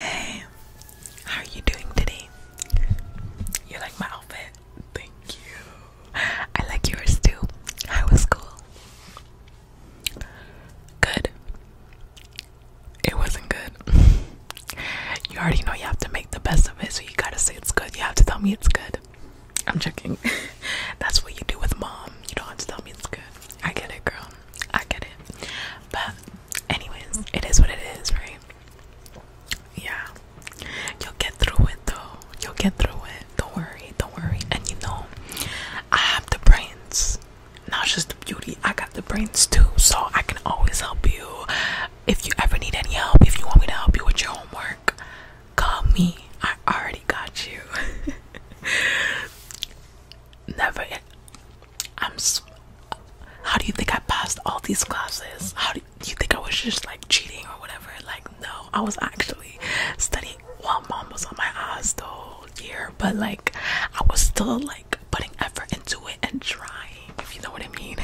Hey, how are you doing today? You like my outfit? Thank you. I like yours too. How was school? Good. It wasn't good. You already know you have to make the best of it, so you gotta say it's good. You have to tell me it's good. I'm checking. That's what you do with mom. You don't have to tell me it's good. I get it, girl. I get it. But anyways, it is what it is, right? Yeah, you'll get through it though. You'll get through it. Don't worry, don't worry. And you know, I have the brains, not just the beauty. I got the brains too, so I can always help you. If you ever need any help, if you want me to help you with your homework, call me. I already got you. Never, I'm. How do you think I passed all these classes? How do you think I was just like cheating or whatever? Like, no, I was actually studying while mom was on my ass the whole year, but like, I was still like putting effort into it and trying, if you know what I mean.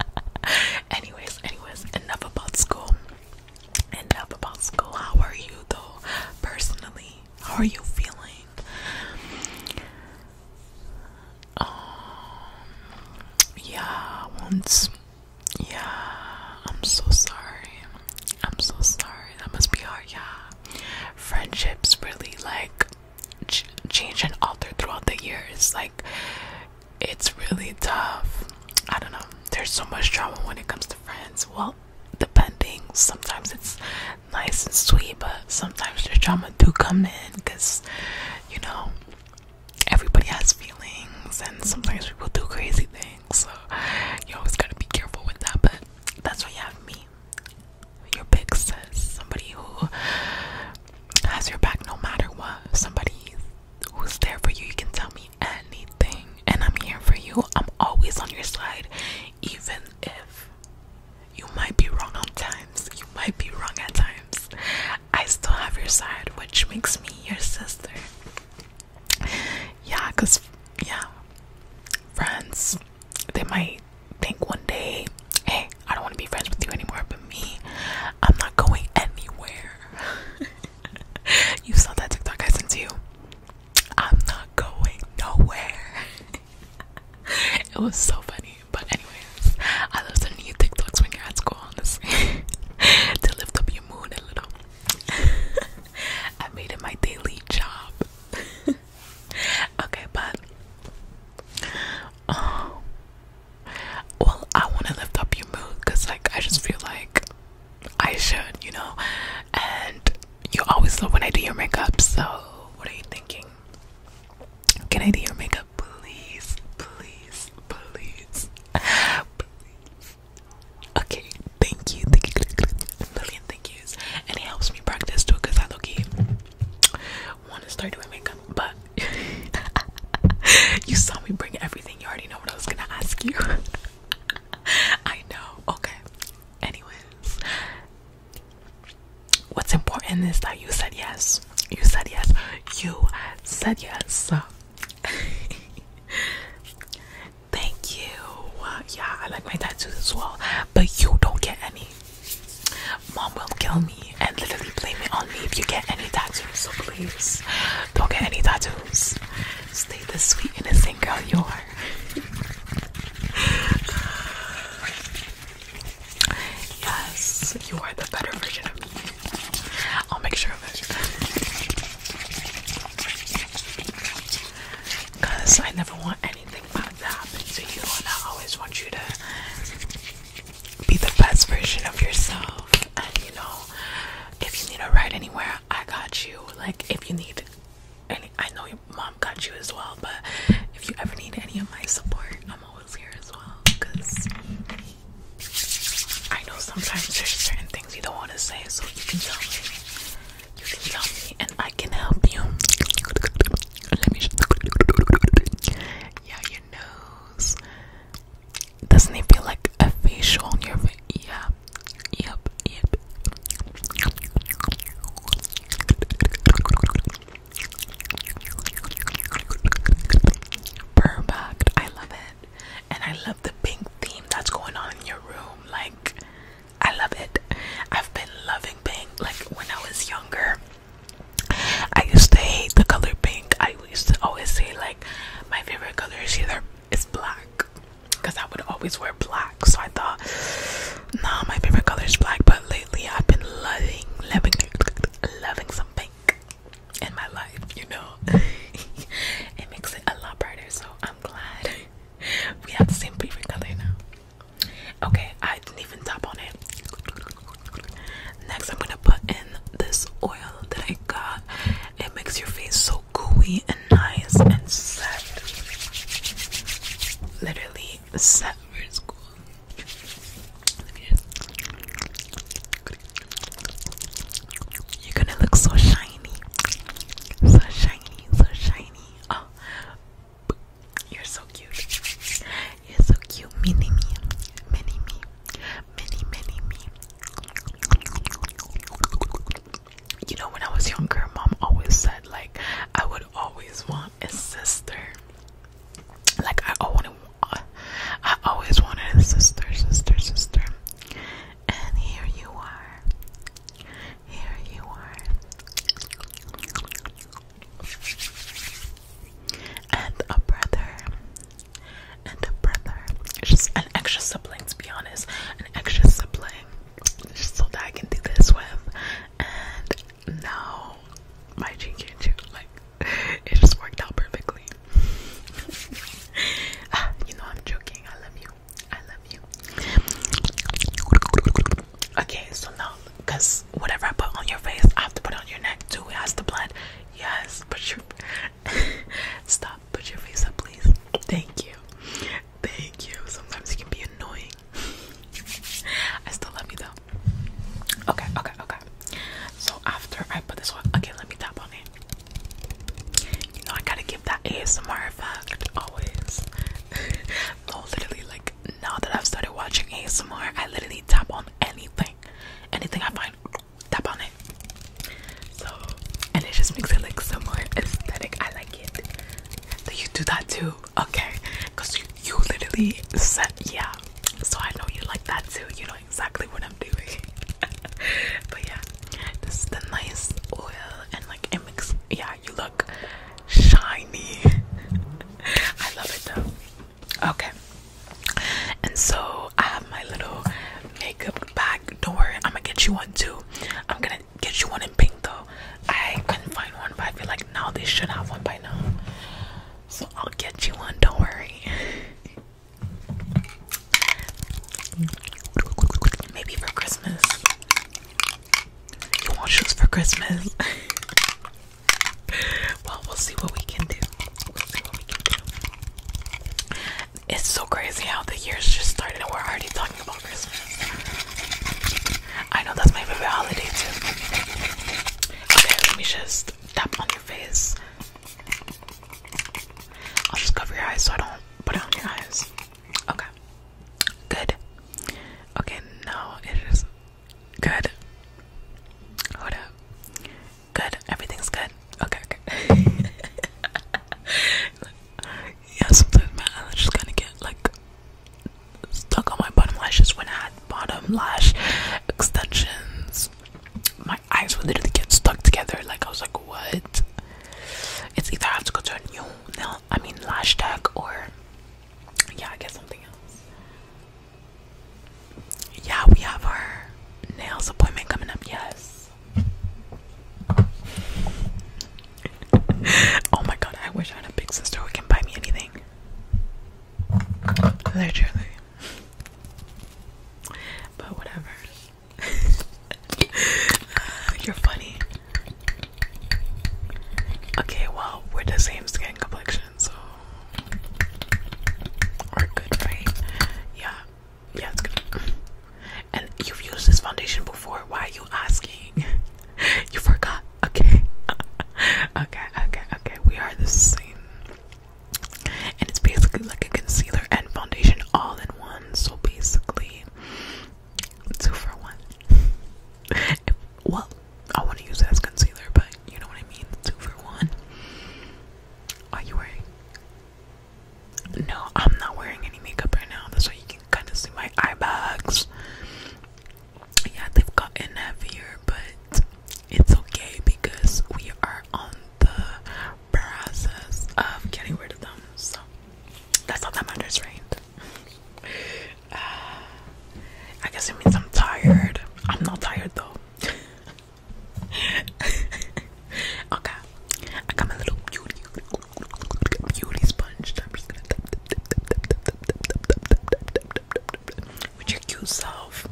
anyways, anyways, enough about school. Enough about school. How are you though, personally? How are you feeling? Um, yeah, once. Yeah, I'm so sorry. I'm so sorry. That must be hard. Yeah, friendships really like change and alter throughout the years. Like, it's really tough. I don't know. There's so much trauma when it comes to friends. Well, depending. Sometimes it's nice and sweet, but sometimes the drama do come in because you know everybody has feelings, and sometimes people do crazy things. So you always gotta be careful with that. But that's why you have me, your big sis, somebody who has your back no matter what, somebody who's there for you. You can tell me anything, and I'm here for you. I'm always on your side, even if you might be wrong on times. You might be wrong at times. I still have your side, which makes me your sister. Yeah, because, yeah, friends, they might think one day, hey, I don't want to be friends with you anymore, but me, I'm not going anywhere. you saw that TikTok I sent to you. I'm not going nowhere. it was so funny. But anyways, I love sending you TikToks when you're at school, honestly, to lift up your mood a little. I made it my daily job. okay, but oh, well, I want to lift up your mood because, like, I just feel like I should, you know. And you always love when I do your makeup, so what are you thinking? Can I do your makeup? Please, please, please, please. Okay, thank you, thank you, million thank yous. And it helps me practice too, cause I look want to start doing makeup, but you saw me bring everything. You already know what I was gonna ask you. I know. Okay. Anyways, what's important is that you said yes. You said yes. You said yes. Thank you. Yeah, I like my tattoos as well, but you don't get any. Mom will kill me and literally blame it on me if you get any tattoos. So please, don't get any tattoos. Stay the sweet innocent girl you are. Yes, you are the better version of me. I'll make sure of that, Because I never want anything bad to happen to you, and I always want you to be the best version of yourself. And you know, if you need a ride anywhere, I got you. Like, if you need any, I know your mom got you as well, but if you ever need any of my support, I'm grandma was here as well because I know sometimes there's certain things you don't want to say, so you can tell me. You can tell me, and I can help you. Let me. Yeah, your nose. Doesn't it feel like a facial on your face? Yeah. Yep. Yep. Perfect. I love it. And I love the pink theme that's going on in your room. Like, I love it. I've been loving pink. Like, when I was younger, I used to hate the color pink. I used to always say, like, my favorite color is either is black because I would always wear black. So I thought Nah, my favorite color is black, but lately I've been loving, loving, loving some pink in my life. You know, it makes it a lot brighter. So I'm glad we have the same favorite color now. Okay, I didn't even tap on it. Next, I'm gonna put in this oil that I got. It makes your face so gooey and nice and set. Literally set for school. You're gonna look so shiny. So shiny, so shiny. Oh, you're so cute. You're so cute. Mini me. Mini me. Mini, mini me. You know, when I was younger, mom always said, like, I would always want a sister. Like I always, I always wanted a sister, sister, sister. And here you are. Here you are. And a brother. And a brother. It's just an extra sibling, to be honest. An extra sibling. Just so that I can do this with now my chin can too. Like it just worked out perfectly. Ah, you know I'm joking. I love you. I love you. Okay, so now, cause whatever I put on your face, I have to put on your neck too. It has to blend. Yes, put your stop. Put your face up, please. Thank you. Thank you. Sometimes it can be annoying. I still love you though. Okay, okay, okay. So after I put this one, okay, let me tap on it. You know I gotta give that ASMR effect always. no, literally, like now that I've started watching ASMR, I literally tap on anything, anything I find, tap on it. So, and it just makes it like some more aesthetic. I like it. Do you do that too? Okay, cause you, you literally said, yeah. So I know you like that too. You know exactly what I'm doing. but yeah, this is the nice oil and like it makes, yeah, you look shiny. I love it though. Okay. And so I have my little makeup bag. Don't worry, I'm gonna get you one too. I'm gonna get you one in pink though. I couldn't find one, but I feel like now they should have one by now. So I'll get you one, don't worry. Maybe for Christmas. You want shoes for Christmas? well, we'll see what we can do. It's so crazy how the year's just started and we're already talking about Christmas. I know that's my favorite holiday Okay, let me just tap on your face. I'll just cover your eyes so I don't put it on your eyes. Okay. Good. Okay, no, it is good. Hold up. Good. Everything's good. Okay, okay. yeah, sometimes my eyelids just kind of get like stuck on my bottom lashes when I bottom lash extensions. My eyes would literally get stuck together. Like I was like, what? It's either I have to go to a new nail, I mean lash tag, or yeah, I get something else. Yeah, we have our nails appointment coming up. Yes. oh my god, I wish I had a big sister who can buy me anything. Literally but whatever. uh, you're funny. Okay, well, we're the same skin complexion, so we're good, right? Yeah, yeah, it's good. And you've used this foundation before. Why are you asking? you forgot. Okay. okay, okay, okay. We are the same and it's basically like a concealer and foundation all in one. So basically, two for one. well, I want to use it as concealer, but you know what I mean. Two for one. Are you wearing? No, I'm not wearing any makeup right now. That's why you can kind of see my eye bags. Yeah, they've gotten heavier, but it's okay because we are on the process of getting rid of them, so that's all that matters, right? Uh, I guess it means I'm tired. I'm not tired though. okay, I got my little beauty sponge with your cute self.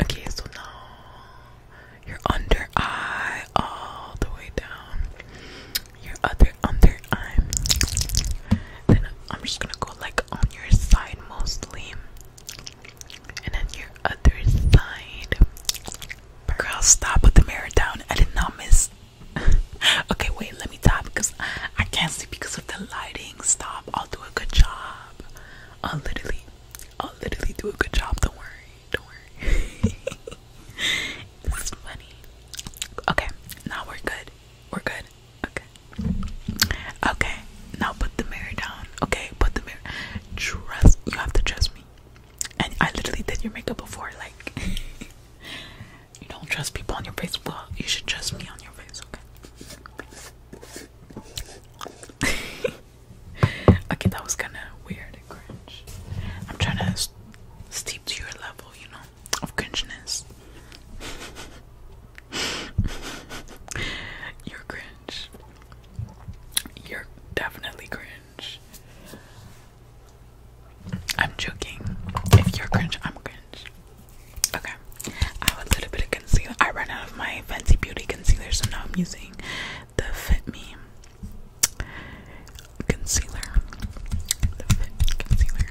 Okay, so now your under eye all the way down. Your other under eye. Then I'm just gonna go like on your side mostly and then your other side. Girl, stop with the mirror down. I did not miss. okay, wait, let me tap because I can't see because of the lighting. Stop. I'll do a good job. I'll literally, I'll literally do a good job. Don't worry. Don't worry. this is funny. Okay, now we're good. We're good. Okay. Okay. Now put the mirror down. Okay, put the mirror trust you have to trust me. And I literally did your makeup before, like you don't trust people on your face. Well, you should trust me on your face, okay? okay, that was kinda weird and cringe. I'm trying to steep to your level, you know, of cringiness. You're cringe. You're definitely cringe. I'm joking. If you're cringe, I'm cringe. Okay. I have a little bit of concealer. I ran out of my fancy beauty concealer, so now I'm using the Fit Me concealer. The Fit concealer.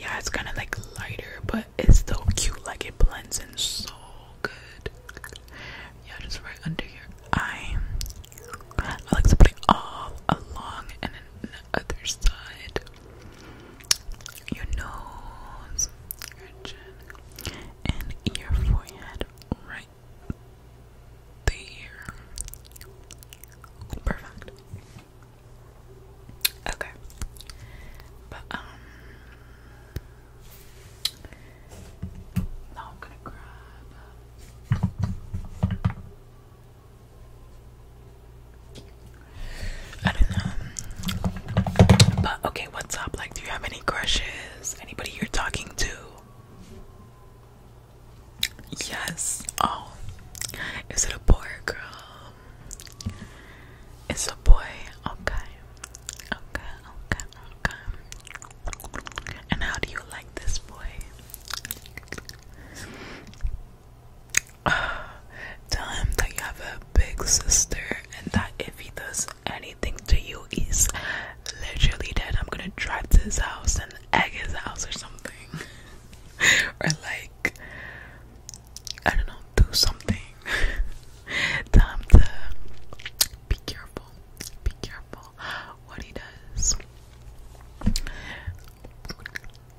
Yeah, it's kind of like lighter, but it's so cute. Like it blends in so good. Yeah, just right under your eye. I like to put it all along and the other side. Your nose, your chin, and your forehead right there. Perfect. Okay. But um now I'm gonna grab. Uh, I don't know. But okay, what's up? Like, do you have any crushes? Anybody you're talking to? Yes. Oh, is it a boy or girl? It's a boy. Okay. Okay, okay, okay. And how do you like this boy? Tell him that you have a big sister and that if he does anything to you, he's literally dead. I'm gonna drive to his house and egg his house or something. or like I don't know, do something. Time to be careful. Be careful what he does.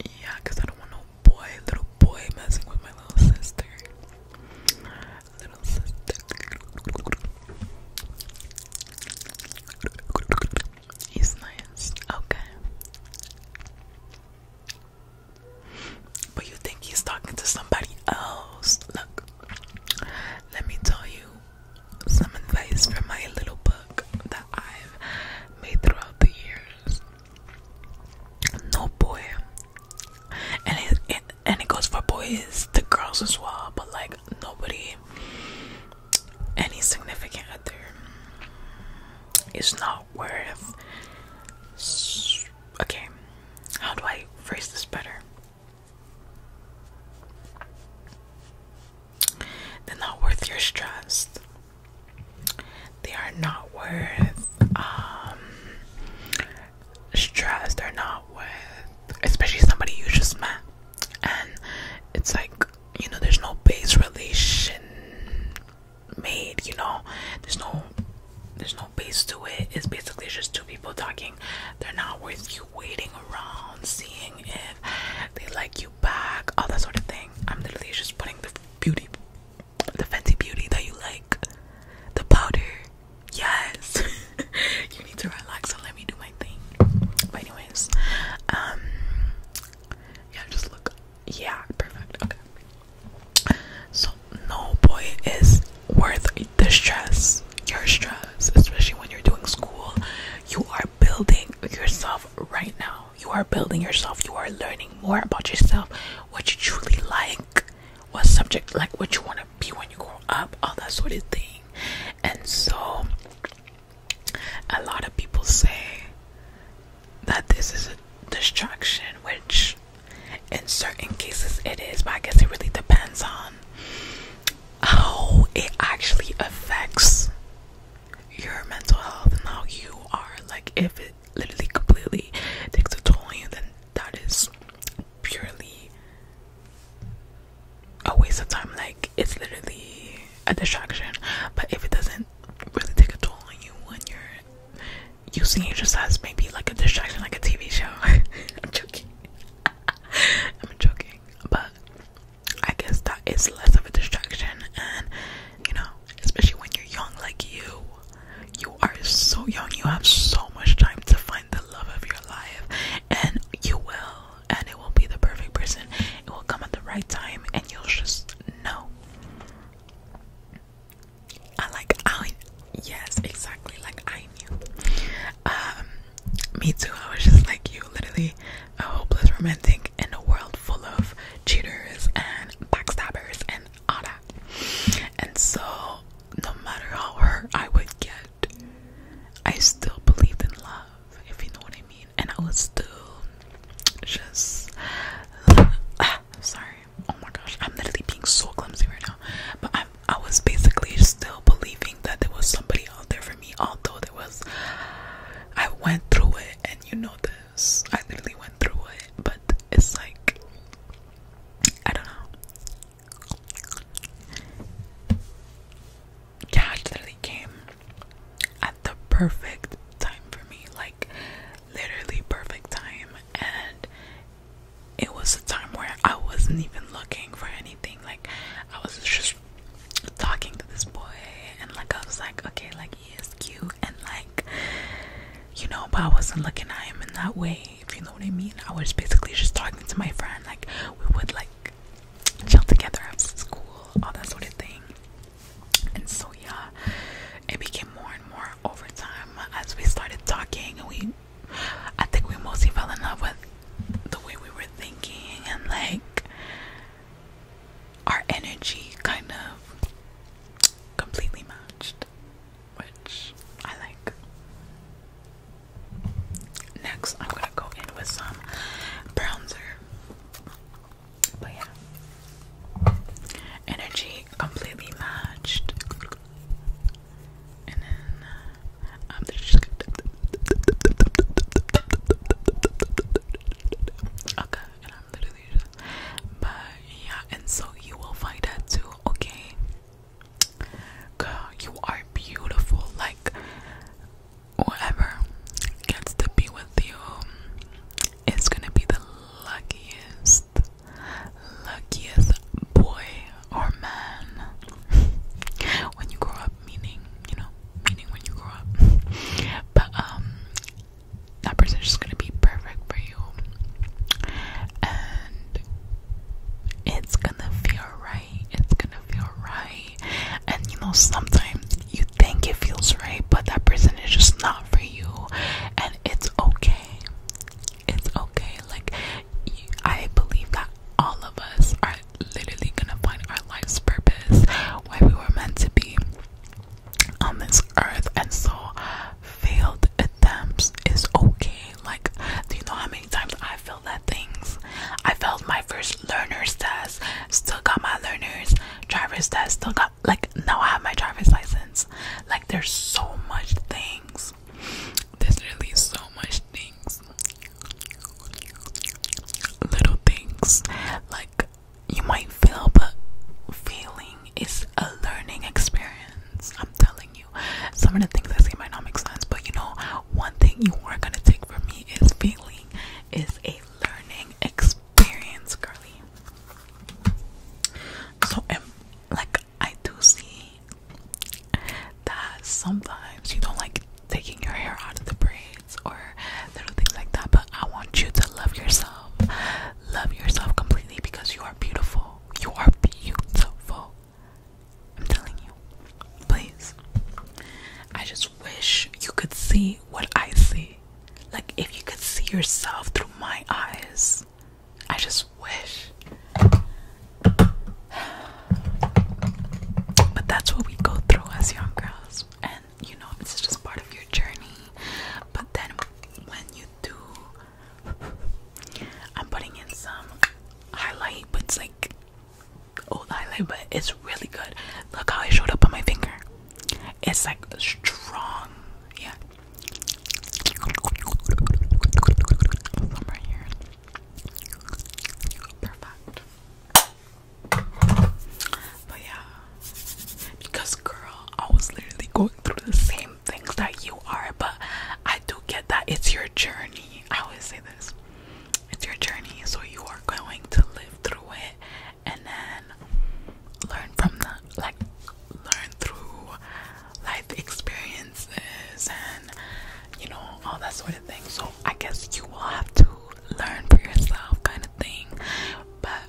Yeah, I don't want no boy, little boy messing with my little sister. Little sister. He's nice. Okay. But you think he's talking to somebody else. Look, let me tell you some advice from my little book that I've made throughout the years. No boy, and it, and it goes for boys the girls as well, but like nobody, any significant other, is not worth okay, how do I phrase this better? They're not worth your trust. They are not worth um stress. They're not worth especially somebody you just met. And it's like, you know, there's no base relation made, you know. There's no there's no base to it. It's basically just two people talking. They're not worth you waiting around, seeing if they like you back, all that sort of thing. I'm literally just putting the beauty, the fancy beauty that you like, the powder. Yes, you need to relax So let me do my thing. But anyways, um, yeah, just look. Yeah, perfect. Okay. So no boy is worth the stress. Your stress, especially when you're doing school, you are building yourself right now. You are building yourself. You are learning more about yourself, what you truly like, what subject like, what you want to be when you grow up, all that sort of thing. And so, a lot of people say that this is a distraction, which in certain cases, it is, but I guess it really depends on how it actually affects your mental health and how you are. Like, if it literally completely takes a toll on you, then that is purely a waste of time. Like, it's literally a distraction. But if it doesn't really take a toll on you when you're using it just as maybe like a distraction, like a TV show. I'm joking. I'm joking. But I guess that is less of a distraction, and you know, especially when you're young like you, you are so young, you have so much time to find the love of your life, and you will, and it will be the perfect person, it will come at the right time, and you'll just know. I like I yes, exactly like I knew. Um, me too, I was just like you, literally a hopeless romantic in a world full of cheaters and backstabbers and all that. And so no matter how hurt I would get, I still believed in love, if you know what I mean. And I was still just, sorry, Oh my gosh, I'm literally being so clumsy right now. But I I was basically still believing that there was somebody out there for me, although there was I went through it and you know this. I literally went through it, but it's like I don't know. Cash literally came at the perfect time for me, like literally perfect time, and it was a time where I wasn't even looking for anything. Like I was just talking to this boy and like I was like, okay, like he is cute and like you know, but I wasn't looking at him in that way, if you know what I mean. I was basically just talking to my friend, like we would like chill together after school, all that sort of thing. And so yeah, it became more and more over time as we started talking and we I think we mostly fell in love with the way we were thinking and like our energy kind of completely matched, which I like. Next, I'm gonna go in with some bronzer, but yeah, energy completely matched and okay, and I'm literally but yeah, and so you will find that too, okay? Girl, you are beautiful, like whoever gets to be with you is gonna be the luckiest luckiest boy or man when you grow up, meaning, you know, meaning when you grow up. But, um, that person is just gonna be perfect for you. And it's gonna feel right. It's gonna feel right. And, you know, sometimes you think it feels right, but that person is just not for you. And it's okay. It's okay. Like, I believe that all of us are literally gonna find our life's purpose, why we were meant to be on this earth, and so failed attempts is okay. Like, do you know how many times I failed at things? I failed my first learner's test, still got my learner's driver's test, still got like now I have my driver's license. Like, there's so much things there's really so much things, little things like you might feel, but feeling is a learning experience. I'm telling you, some of the things I say might not make sense, but you know, one thing you are gonna take from me is feeling is a learning experience, Carly. So, um, like, I do see that sometimes you don't like taking your hair out of the braids or little things like that, but I want you to love yourself. Love yourself completely because you are beautiful. You are beautiful. I'm telling you. Please. I just wish you could see what I see. Like, if you could see yourself through my eyes, I just wish. But that's what we go through as young girls, and you know, it's just part of your journey. But then when you do, I'm putting in some highlight, but it's like old highlight, but it's really good. Look how it showed up on my finger. It's like strong, yeah. From right here. Perfect. But yeah, because girl, I was literally going through the same things that you are, but I do get that it's your journey. I always say this it's your journey, so you are going to live through it and then learn from the like, learn through life experience and you know all that sort of thing so i guess you will have to learn for yourself kind of thing but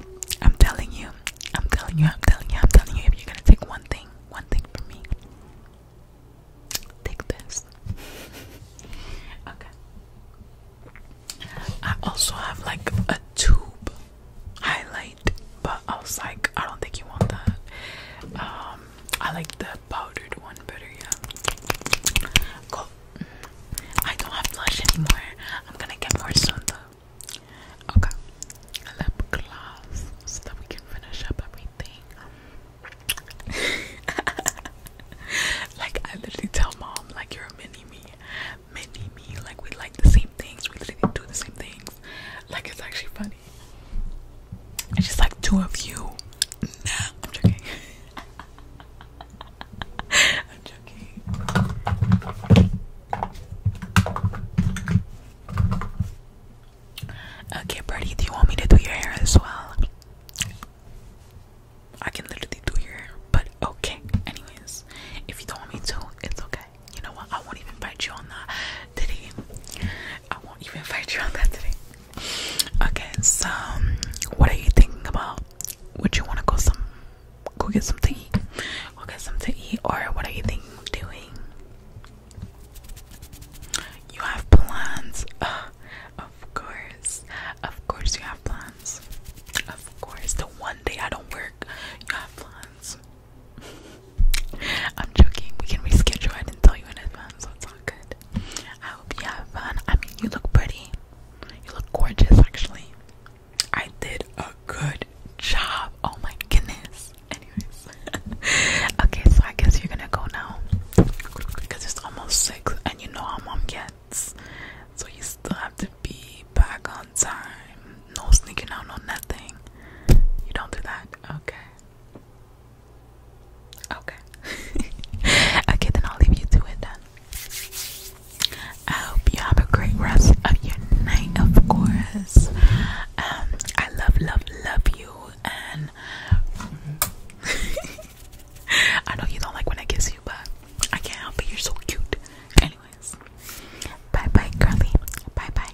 i'm telling you i'm telling you i'm telling you i'm telling you if you're gonna take one thing one thing from me take this okay i also have like a tube highlight but i was like i don't think you want that um i like the powdered one better, uh, yeah. Cool. I don't have blush anymore. I'm gonna get more soon though. Okay. Lip gloss so that we can finish up everything. like I literally tell mom like you're a mini me. Mini me. Like we like the same things. We literally do the same things. Like it's actually funny. I just like two of you. I'm joking. I'm joking. Okay, Birdie, do you want me to do your hair as well? I can literally do your hair, but okay. Anyways, if you don't want me to, it's okay. You know what? I won't even bite you on that. diddy. I won't even fight you on that today. Okay, so um, what are you thinking about? Would you want to go some, go get some to eat? Go get something to eat, or what are you thinking of doing? You have plans, of course, of course you have plans. Of course, the one day I don't work, you have plans. I'm joking. We can reschedule. I didn't tell you in advance, so it's all good. I hope you have fun. I mean, you look pretty. You look gorgeous, actually. I did a good job. Oh my goodness. Anyways, okay, so I guess you're gonna go now because it's almost six, and you know how mom gets, so you still have to be back on time. No sneaking out, no nothing. You don't do that, okay? Okay. okay, then I'll leave you to it then. I hope you have a great rest of your night, of course. Um, I love, love, love you, and I know you don't like when I kiss you, but I can't help You're so cute. Anyways, bye bye, girly. Bye bye.